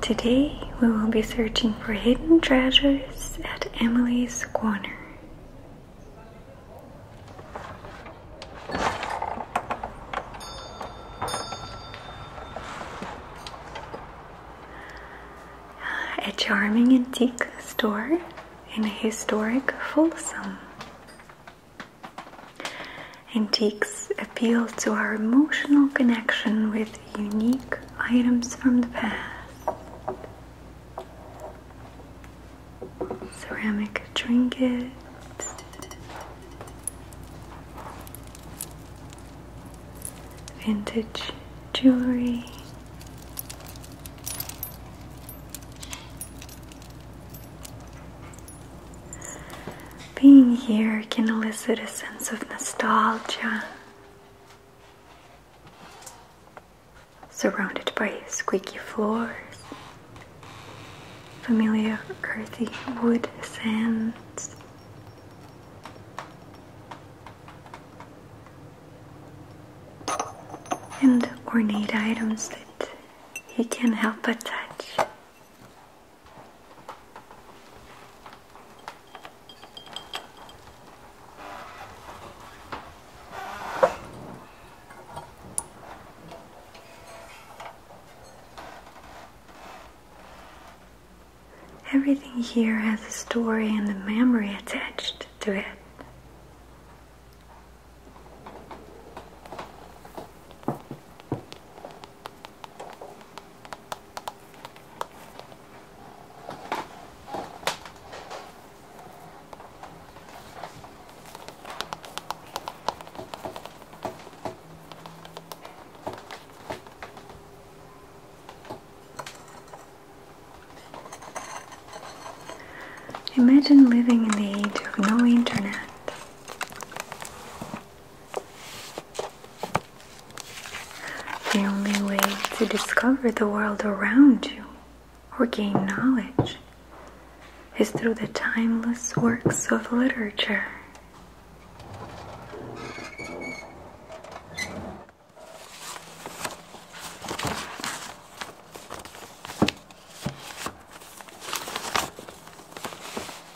Today we will be searching for hidden treasures at Emily's Corner. A charming antique store in historic Folsom. Antiques appeal to our emotional connection with unique items from the past. Ceramic trinkets. Vintage jewelry. Being here can elicit a sense of nostalgia. Surrounded by squeaky floors, familiar earthy wood sands. And ornate items that you can't help but touch. Everything here has a story and a memory attached to it. Imagine living in the age of no internet. The only way to discover the world around you or gain knowledge is through the timeless works of literature.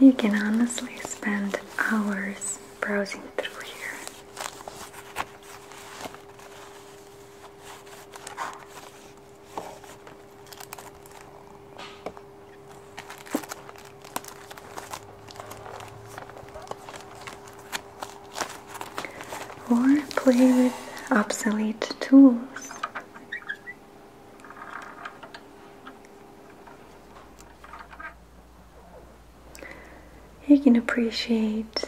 You can honestly spend hours browsing through here or play with obsolete tools. You can appreciate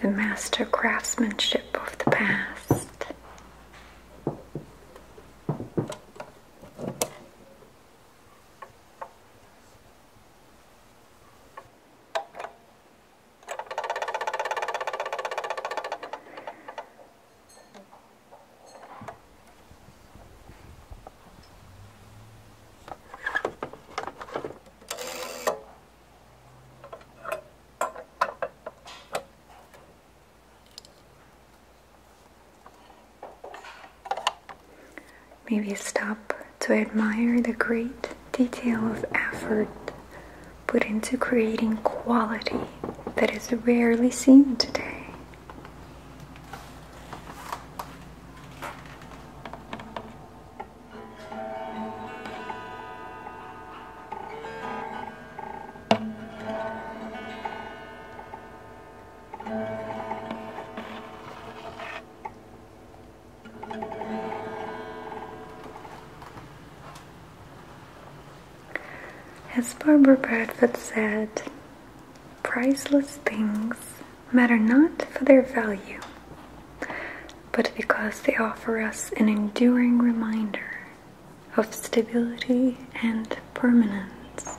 the master craftsmanship of the past. Maybe stop to admire the great detail of effort put into creating quality that is rarely seen today. As Barbara Bradford said, priceless things matter not for their value, but because they offer us an enduring reminder of stability and permanence.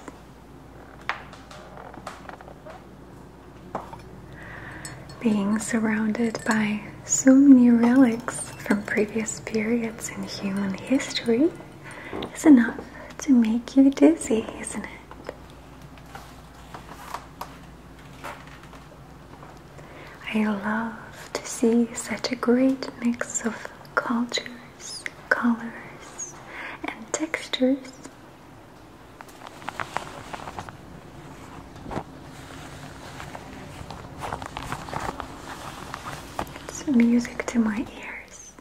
Being surrounded by so many relics from previous periods in human history is enough to make you dizzy, isn't it? I love to see such a great mix of cultures, colors, and textures it's music to my ears.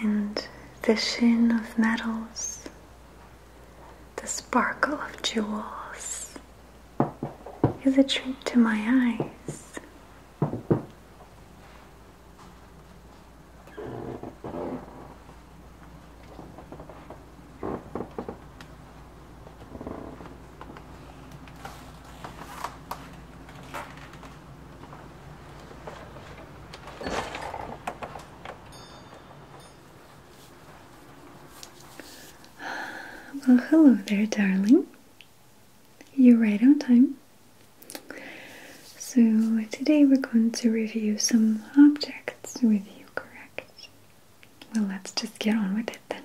And the shin of metals, the sparkle of jewels is a treat to my eyes. Well, hello there, darling. You're right on time. So today we're going to review some objects with you, correct? Well, let's just get on with it then.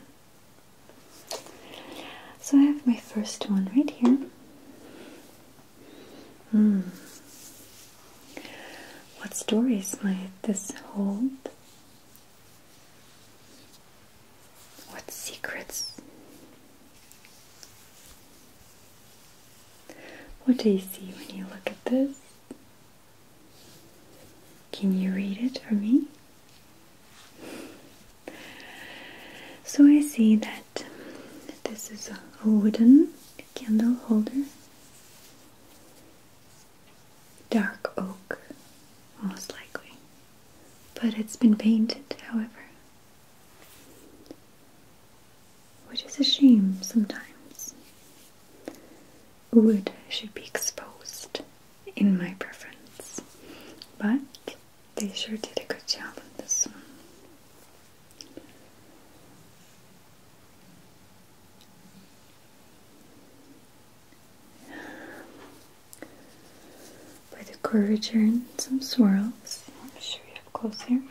So I have my first one right here. Hmm. What stories might this hold? What secrets? What do you see when you look at this? Can you read it for me? So I see that this is a wooden candle holder, dark oak, most likely, but it's been painted, however which is a shame sometimes. Wood should be exposed, in my preference, but they sure did a good job on this one. By the curvature and some swirls, I'll show you up close here.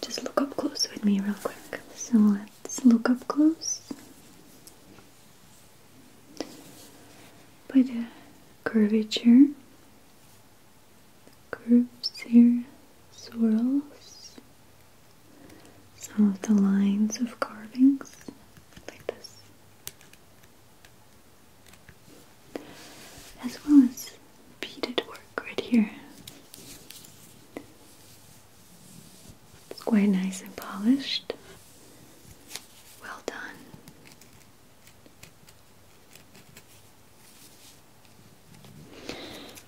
Just look up close with me, real quick. So let's look up close. By the curvature, curves here, swirls, some of the lines of carvings, like this as well as beaded work right here. It's quite nice and polished. Well done.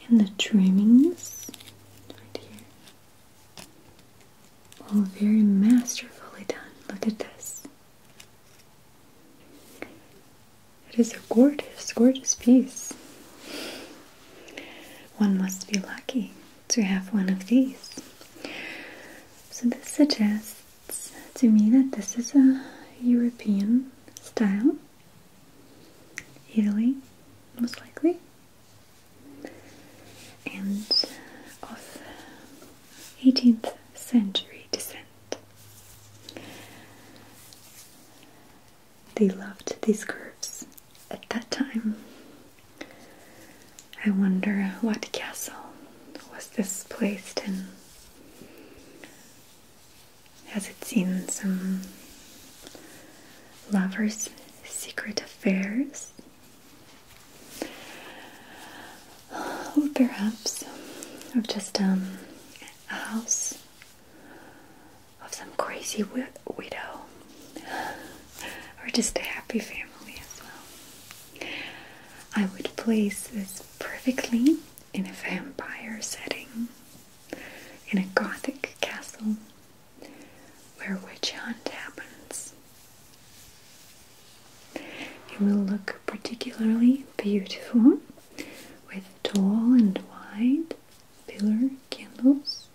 And the trimmings right here. All very masterfully done. Look at this. It is a gorgeous, gorgeous piece. One must be lucky to have one of these. So, this suggests to me that this is a European style, Italy, most likely, and of 18th century descent. They loved these curves at that time. I wonder what castle was this placed in. Has it seen some lovers' secret affairs? perhaps of just um, a house of some crazy widow, or just a happy family as well. I would place this perfectly in a vampire setting, in a gothic castle where witch hunt happens. It will look particularly beautiful with tall and wide pillar candles.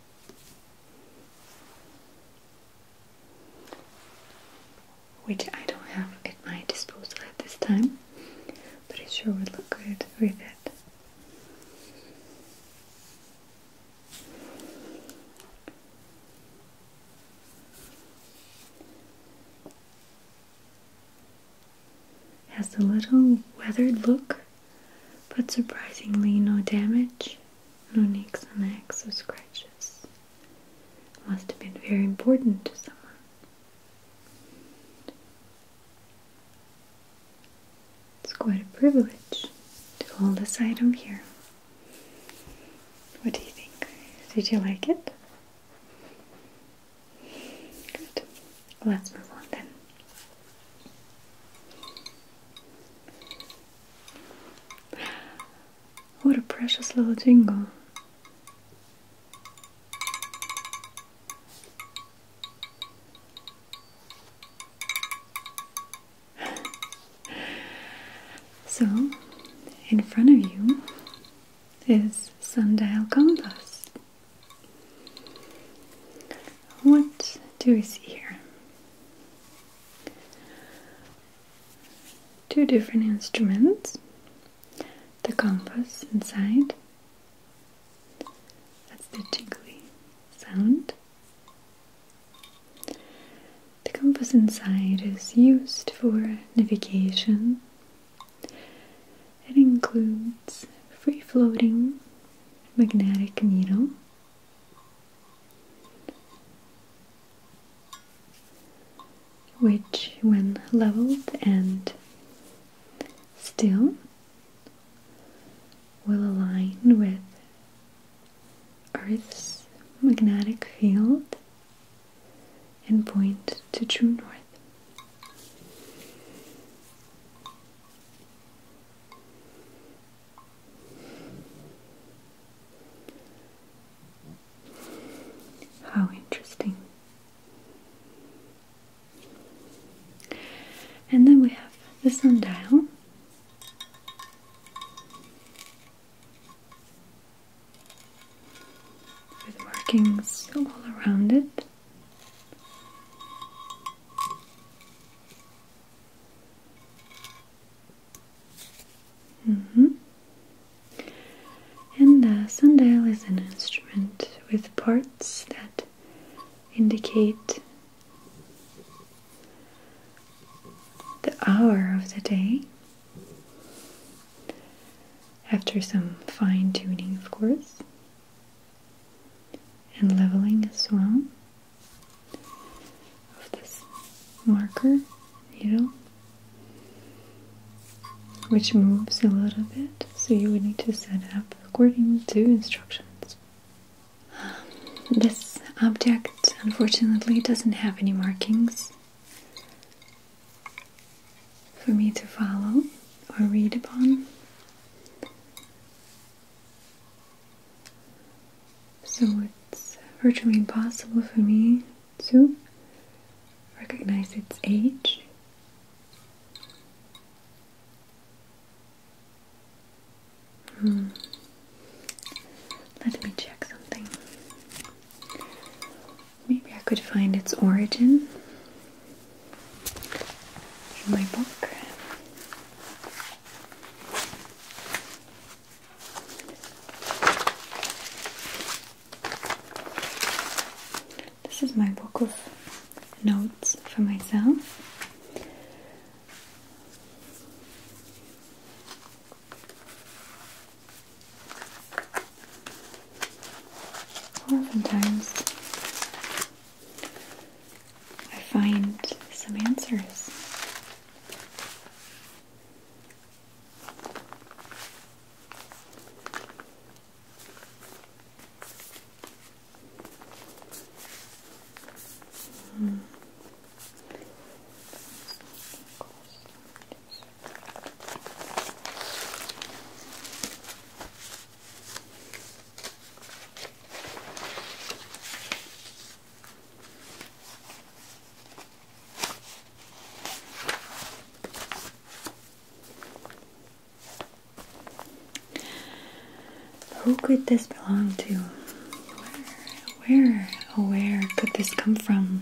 Which I don't have at my disposal at this time, but it sure would look good with it. Has a little weathered look, but surprisingly no damage, no nicks and necks or scratches. Must have been very important to someone. It's quite a privilege to hold this item here. What do you think? Did you like it? Good. Let's move on then. What a precious little jingle. so, in front of you is sundial compass. What do we see here? Two different instruments, the compass inside, that's the jiggly sound. The compass inside is used for navigation it includes free floating magnetic needle, which, when leveled and still, will align with Earth's magnetic field and point to true north. How interesting. And then we have the sundial with markings all around it. -hmm. And the sundial is an instrument with parts that indicate the hour of the day after some fine tuning, of course, and leveling as well of this marker needle, which moves a little bit, so you would need to set up according to instructions. This object unfortunately doesn't have any markings for me to follow or read upon. So it's virtually impossible for me to recognize its age. Hmm. Let me check something. Maybe I could find its origin in my book. This is my book of notes for myself. Oftentimes, I find some answers. Hmm. Who could this belong to? Where, where, oh where could this come from?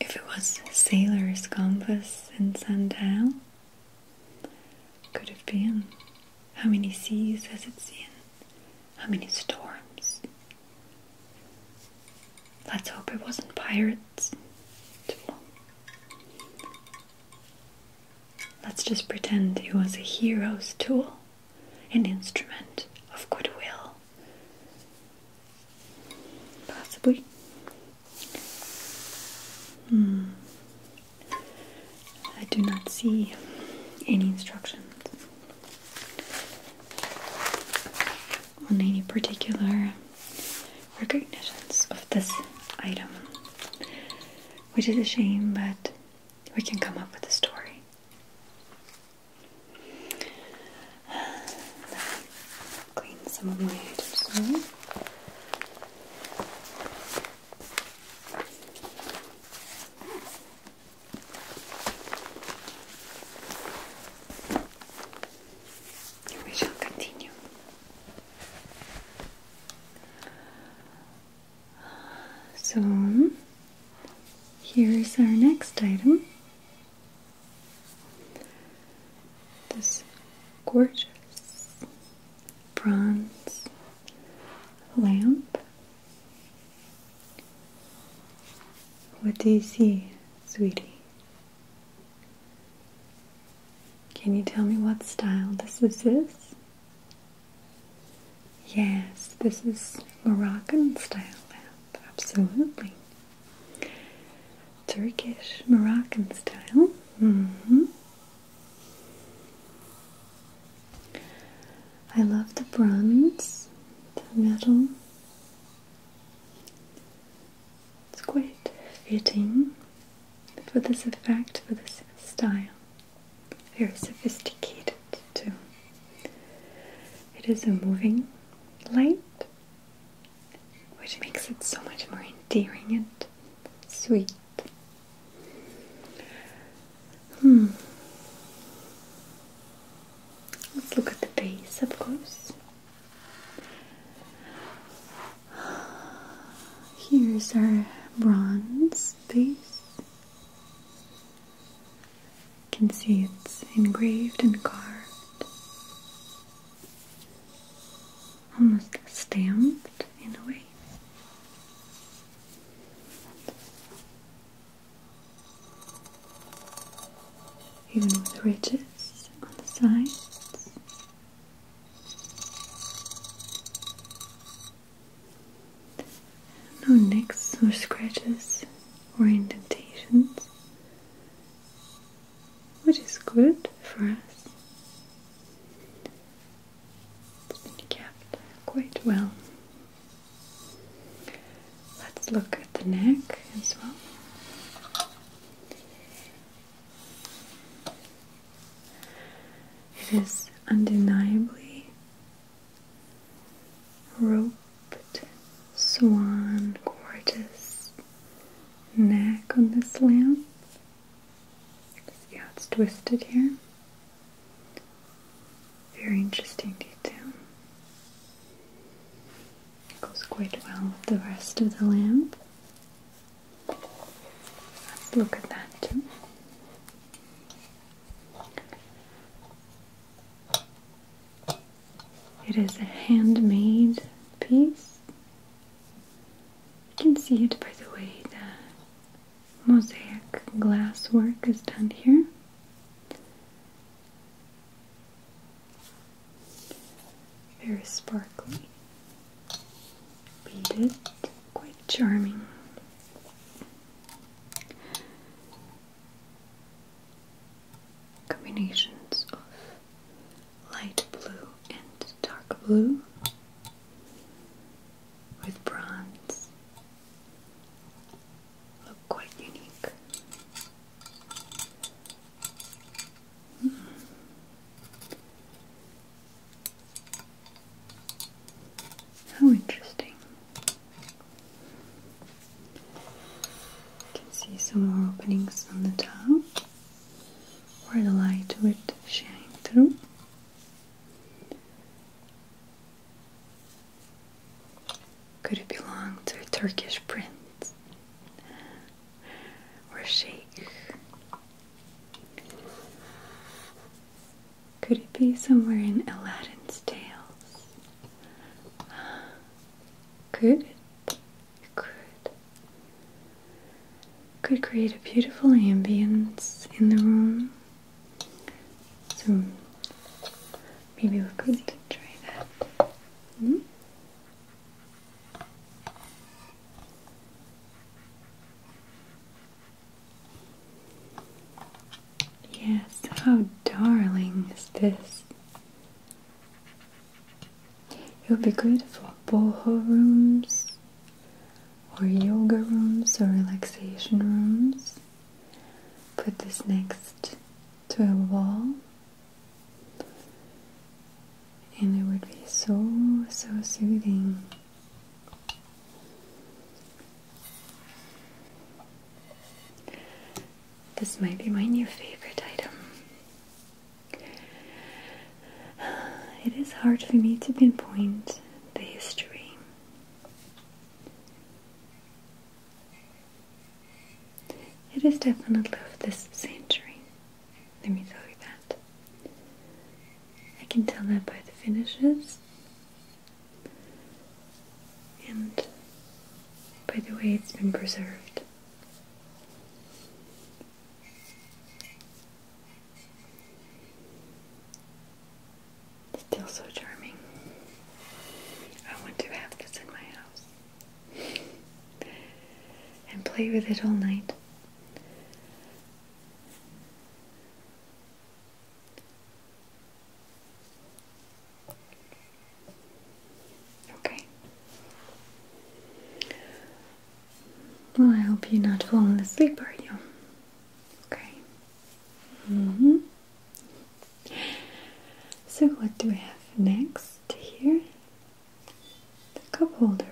if it was sailor's compass in sundial, could have been. How many seas has it seen? How many storms? Let's hope it wasn't pirates. Let's just pretend it was a hero's tool, an instrument of goodwill. Possibly. Hmm. I do not see any instructions on any particular recognitions of this item, which is a shame, but we can come up with a story. Clean some of mm-hmm. We shall continue. So, here is our next item. This gorgeous bronze lamp. What do you see, sweetie? Can you tell me what style this is? Yes, this is Moroccan style lamp, absolutely. Turkish Moroccan style. Mm-hmm. I love the bronze, the metal. It's quite fitting for this effect, for this style. Very sophisticated, too. It is a moving light, which makes it so much more endearing and sweet. Hmm. Let's look at the base, of course. Here's our bronze base. You can see it's engraved and carved almost stamped in a way. Even with the ridges on the sides. No nicks or scratches or indentations which is good for us. It's been kept quite well. Let's look at the neck as well. It is undeniably roped swan, gorgeous neck on this lamp. See how it's twisted here? Very interesting detail. It goes quite well with the rest of the lamp. look at that too. It is a handmade piece. You can see it by the way that mosaic glass work is done here. Very sparkly, beaded, quite charming. Combinations of light blue and dark blue with bronze. Look quite unique. Hmm. How interesting. You can see some more openings on the top where the light would shine through. Could it belong to a Turkish prince or sheikh? Could it be somewhere in Aladdin's tales? Could could could create a beautiful ambience in the room. So maybe we could try that. Hmm? Yes, how darling is this? It would be good for boho rooms, or yoga rooms, or relaxation rooms. Put this next to a wall, and it would be so, so soothing. This might be my new favorite item. It is hard for me to pinpoint the history. It is definitely of this century, let me tell you that. I can tell that by the finishes and by the way it's been preserved. It's Still so charming. I want to have this in my house and play with it all night. Okay. Well, I hope you're not falling asleep, are you? Okay. hmm So, what do we have next here? The cup holder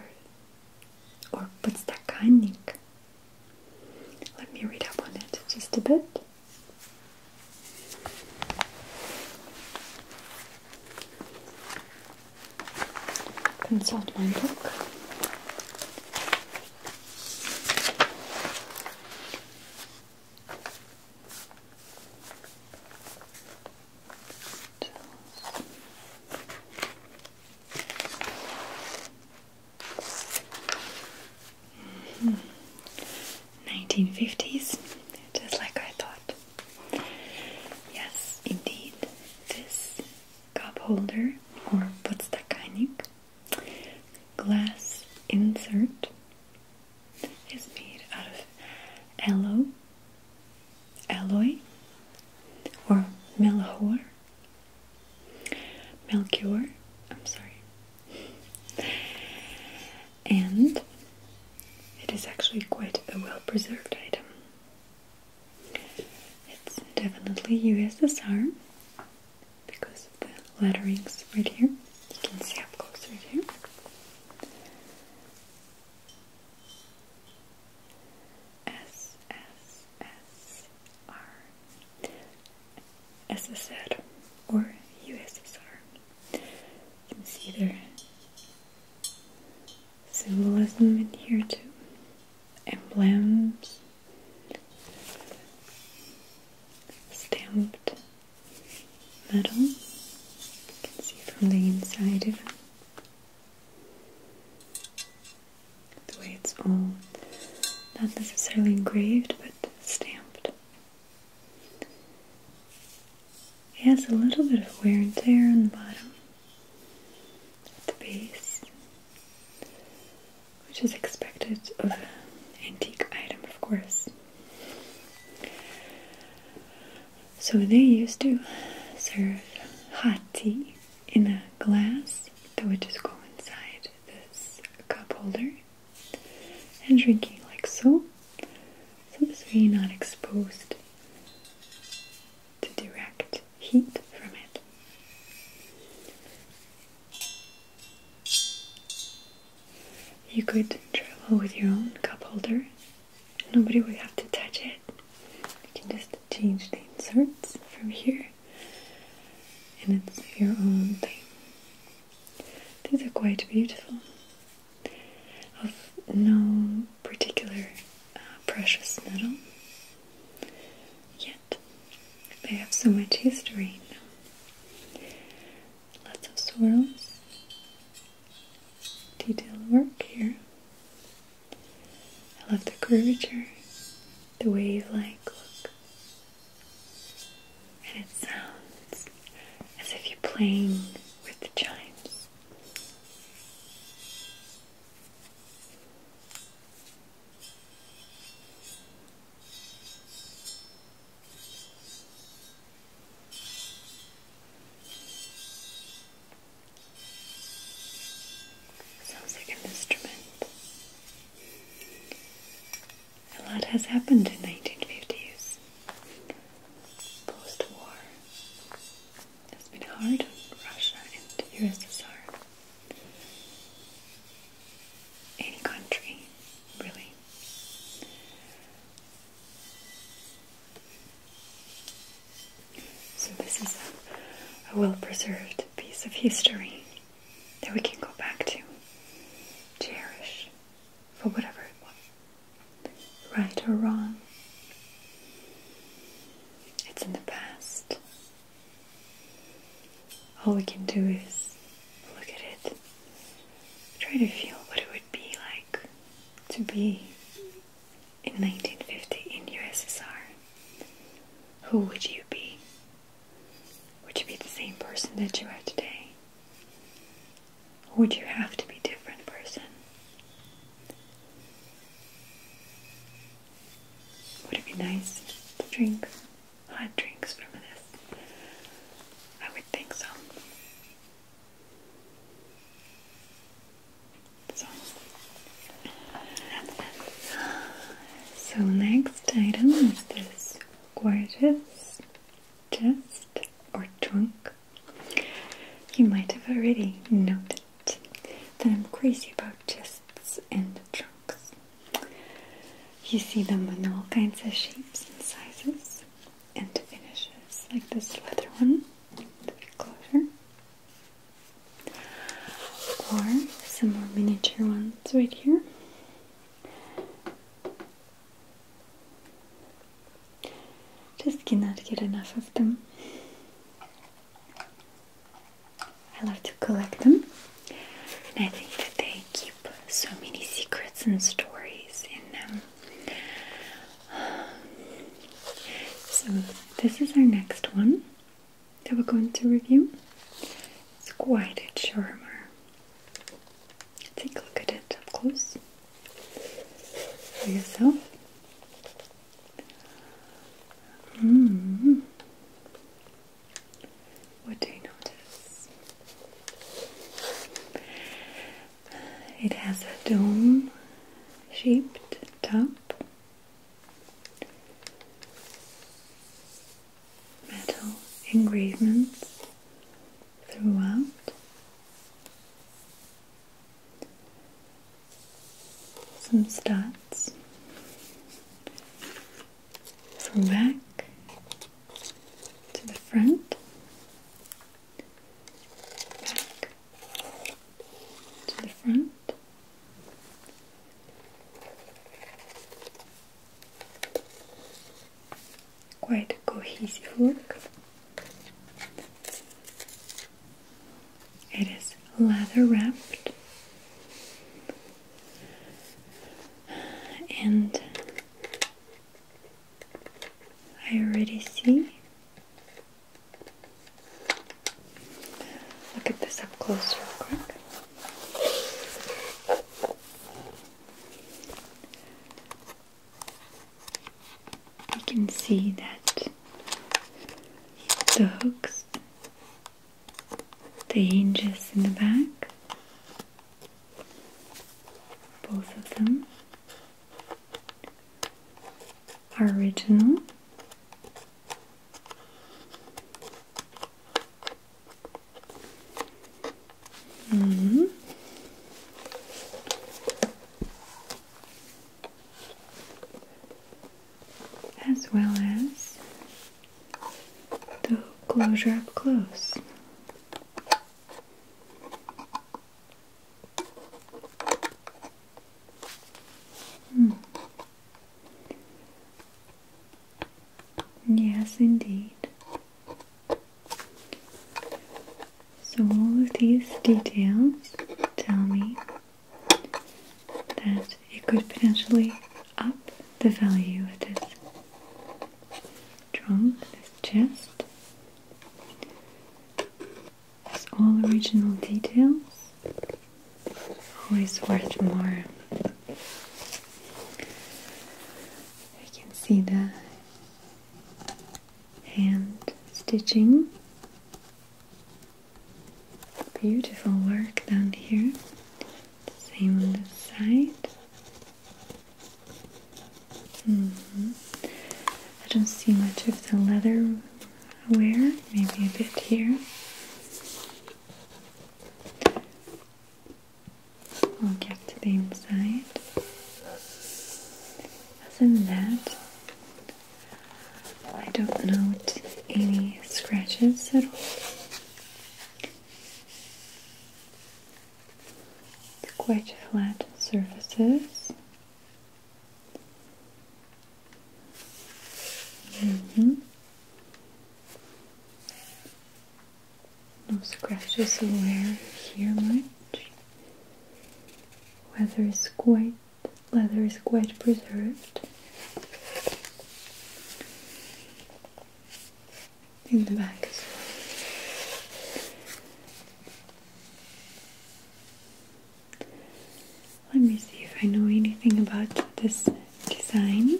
or what's that подстаканник. Let me read up on it just a bit. Consult my book. 1950s, hmm. just like I thought. Yes, indeed, this cup holder or podstakanik glass insert is made out of alloy, or melchor, melchior. I'm sorry and it is actually quite a well preserved item. It's definitely USSR because of the letterings right here. You can see up close right here. SSSR, or USSR. You can see there. symbolism in here too. Emblems stamped metal. You can see from the inside even the way it's all not necessarily engraved but stamped. It has a little bit of wear and tear on the bottom at the base, which is expected of an antique item, of course. So they used to serve hot tea in a glass that would just go inside this cup holder and drinking like so. So this way are not exposed to direct heat from it. You could travel with your own cup holder. Nobody would have to touch it. You can just change the inserts from here, and it's your own thing. These are quite beautiful of no particular uh, precious metal. Yet they have so much history Lots of swirls, detailed work here. I love the curvature, the wave-like look, and it sounds as if you're playing with the chimes. Sounds like an instrument. A lot has happened in 1950s post-war it has been hard on Russia and USSR. Any country, really. So this is a well-preserved piece of history that we can go back to, cherish for whatever it was right or wrong. It's in the past. All we can do is look at it, try to feel what it would be like to be in 1950 in USSR. Who would you be? Would you be the same person that you are today? Would you have to be a different person? Would it be nice to drink hot drinks from this? I would think so. So, so next item is this gorgeous jest or trunk you might have already noted that I'm crazy about chests and trunks. You see them in all kinds of shapes and sizes and finishes, like this leather one, the big closure, or some more miniature ones right here. Just cannot get enough of them. I love to collect them, and I think that they keep so many secrets and stories in them. So, this is our next one that we're going to review. It's quite a charmer. Take a look at it up close for yourself. Mm. What do you notice? It has a dome shaped top, metal engravements throughout some starts from back to the front, back to the front. Quite a cohesive look. It is leather wrapped and I already see. Look at this up close, real quick. You can see that the hooks, the hinges in the back, both of them are original. -hmm as well as the closure up close. Hmm. Yes, indeed. So, all of these details tell me that it could potentially up the value of this trunk, this chest. It's all original details, always worth more. You can see the hand stitching. Beautiful work down here. Same on the side. Mm-hmm. I don't see much of the leather wear, maybe a bit here. We'll get to the inside. Other than that, I don't note any scratches at all. It's quite flat surfaces. Mm-hmm. No scratches or wear here much. Weather is quite leather is quite preserved. In the back Let me see if I know anything about this design.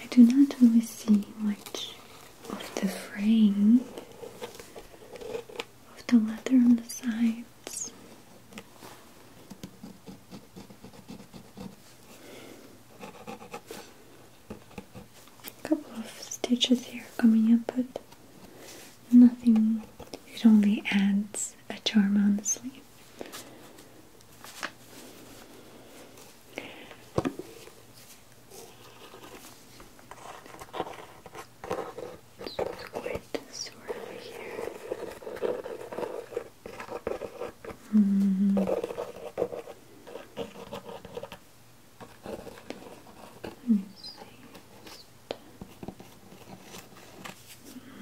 I do not always see much of the frame, of the leather on the sides a couple of stitches here coming up, but nothing, it only adds a charm on the sleeve. Let me see.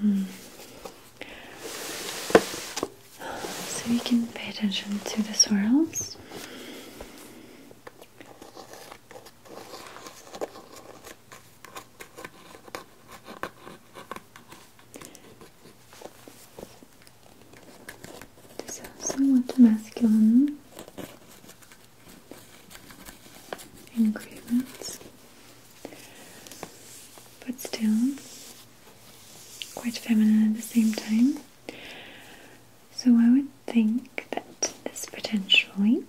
Mm. So we can pay attention to the swirls. This is somewhat masculine ingredients, but still quite feminine at the same time. So I would think that this potentially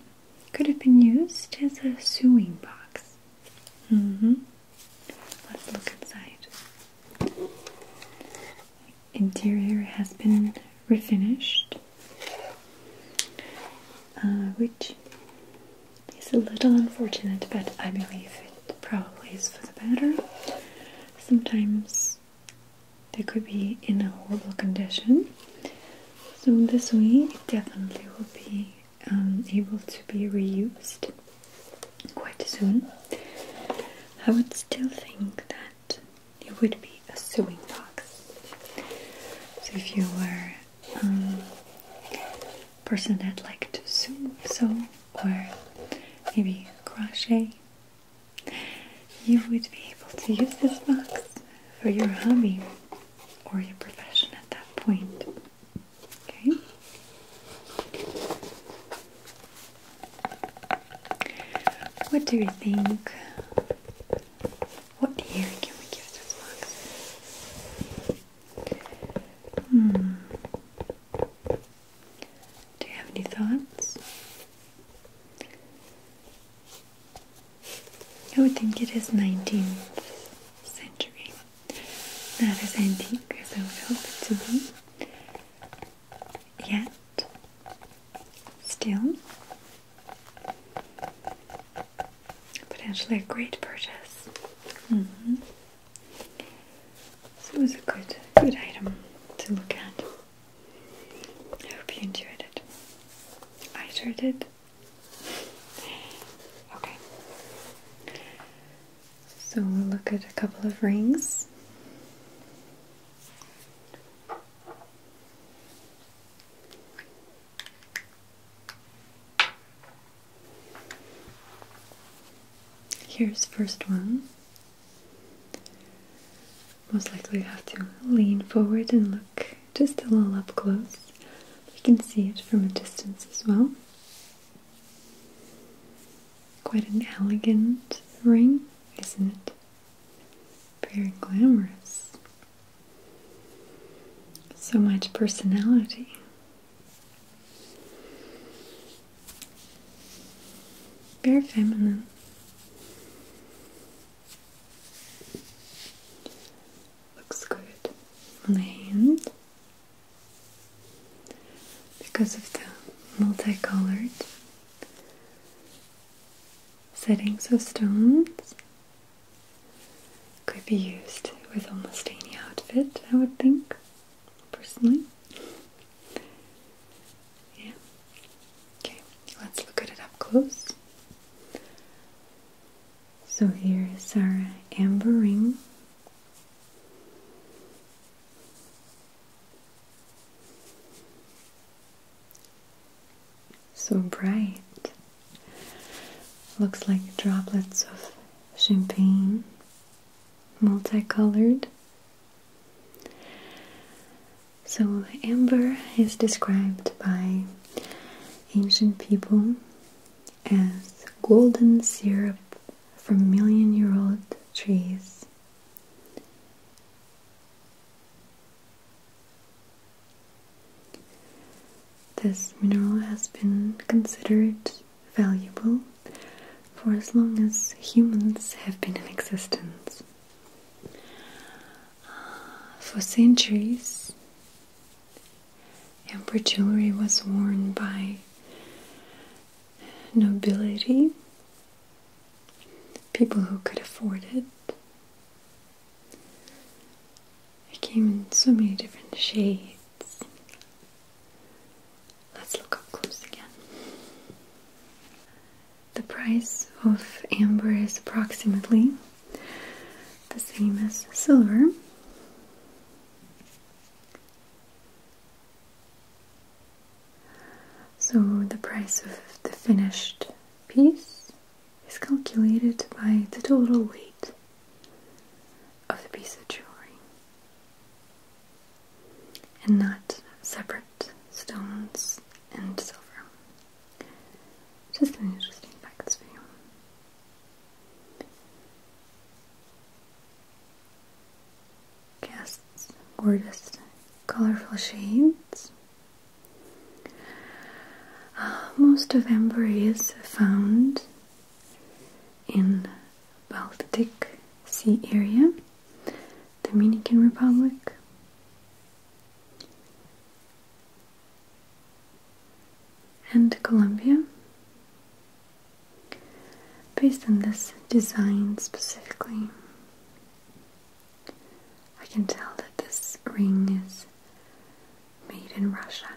could have been used as a sewing box. Mm-hmm. Let's look inside interior has been refinished, uh, which is a little unfortunate, but I believe it probably is for the better. Sometimes they could be in a horrible condition, so this way definitely will be um, able to be reused quite soon, I would still think that it would be a sewing box. So if you were um, a person that liked to sew, sew or maybe crochet, you would be able to use this box for your hobby or your profession at that point. Okay? What do you think? What year can we give this box? Hmm. Do you have any thoughts? I would think it is 19th century. Not as antique as I would hope it to be yet still potentially a great purchase. Mm So it was a good good item to look at. I hope you enjoyed it. I sure did. Okay. So we'll look at a couple of rings. Here's first one. Most likely have to lean forward and look just a little up close. You can see it from a distance as well. Quite an elegant ring, isn't it? Very glamorous. So much personality. Very feminine. Looks good on the hand because of the multicolored settings of stones. Could be used with almost any outfit, I would think, personally. Yeah. Okay, let's look at it up close. So here is our amber ring. So bright. Looks like droplets of champagne, multicolored. So, amber is described by ancient people as golden syrup from million year old trees. This mineral has been considered valuable for as long as humans have been in existence. For centuries, amber jewelry was worn by nobility people who could afford it. It came in so many different shades. Let's look up close again. The price of amber is approximately the same as silver. So the price of the finished piece is calculated by the total weight of the piece of jewelry and not separate stones and silver. Just an interesting facts for you casts gorgeous colorful shades. Uh, most of amber is found in Baltic Sea area, Dominican Republic. And Colombia, based on this design specifically. I can tell that this ring is made in Russia.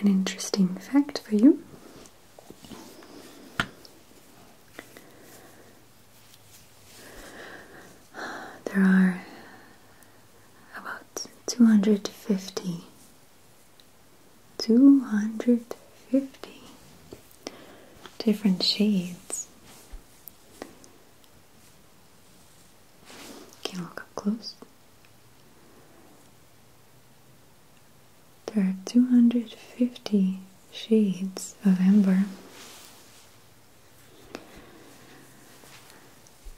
An interesting fact for you. There are about 250 250 different shades. Can look up close. There are 250 shades of amber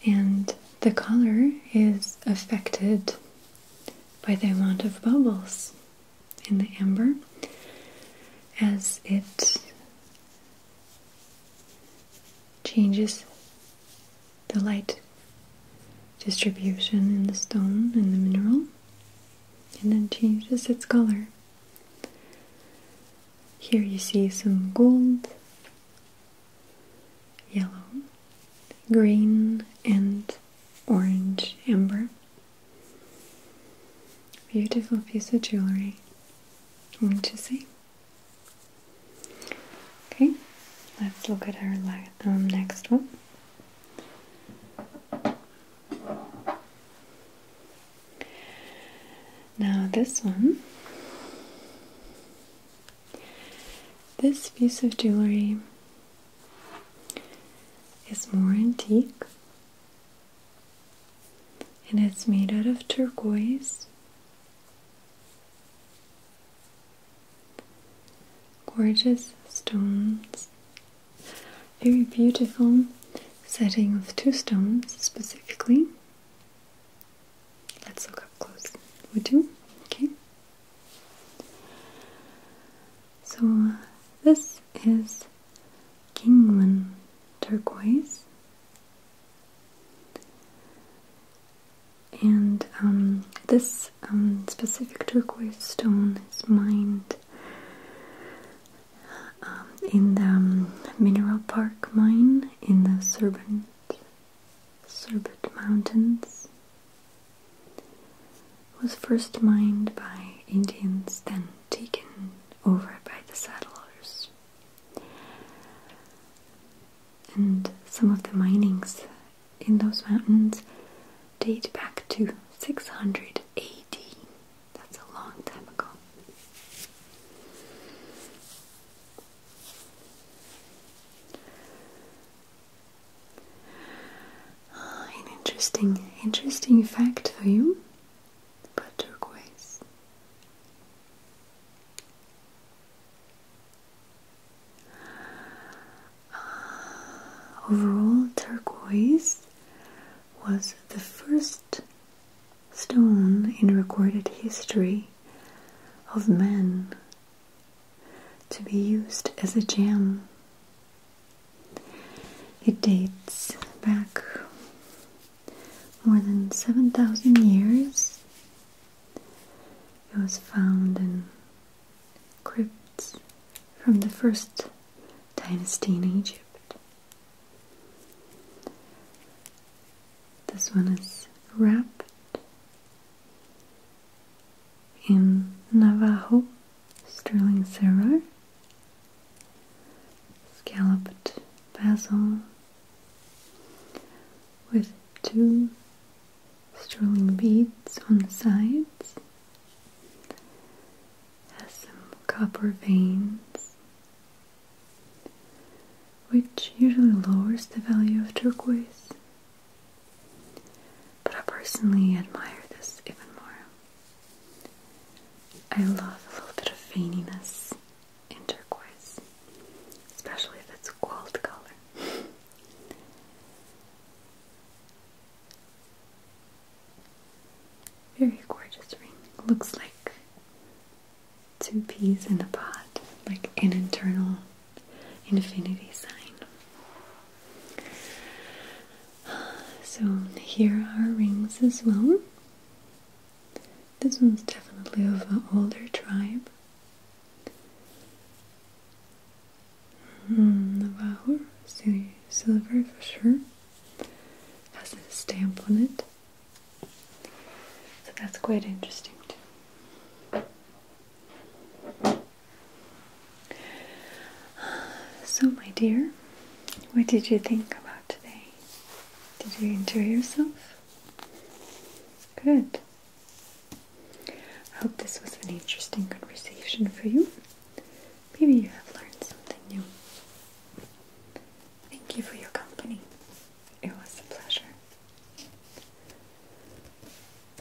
and the color is affected by the amount of bubbles in the amber as it changes the light distribution in the stone and the mineral and then changes its color. Here you see some gold yellow, green, and orange amber. Beautiful piece of jewelry, Want to see? Okay, let's look at our um, next one. Now, this one this piece of jewelry is more antique and it's made out of turquoise, gorgeous stones, very beautiful setting of two stones specifically. Let's look up close. Would you? Okay. So this is Kingman turquoise, and um, this um, specific turquoise stone is mined um, in the Mineral Park mine in the Serpent Sorbet Mountains was first mined by Indians, then taken over by the settlers. And some of the minings in those mountains date back to 600 AD. That's a long time ago. Ah, an interesting, interesting fact for you about turquoise. Ah, overall, turquoise was the first stone in recorded history of men to be used as a jam. It dates back more than 7,000 years. It was found in crypts from the first dynasty in Egypt. This one is wrapped in Navajo, sterling silver, scalloped bezel with two sterling beads on the sides, has some copper veins, which usually lowers the value of turquoise but I personally admire this even more. I love a little bit of veininess in turquoise, especially if it's a gold color. Very gorgeous ring. Looks like two peas in a pod, like an internal infinity sign. So here are rings as well. This one's definitely of an older tribe. Navajo, mm, silver for sure. Has a stamp on it. So that's quite interesting too. So, my dear, what did you think about today? Did you enjoy yourself? Good. I hope this was an interesting conversation for you. Maybe you have learned something new. Thank you for your company. It was a pleasure.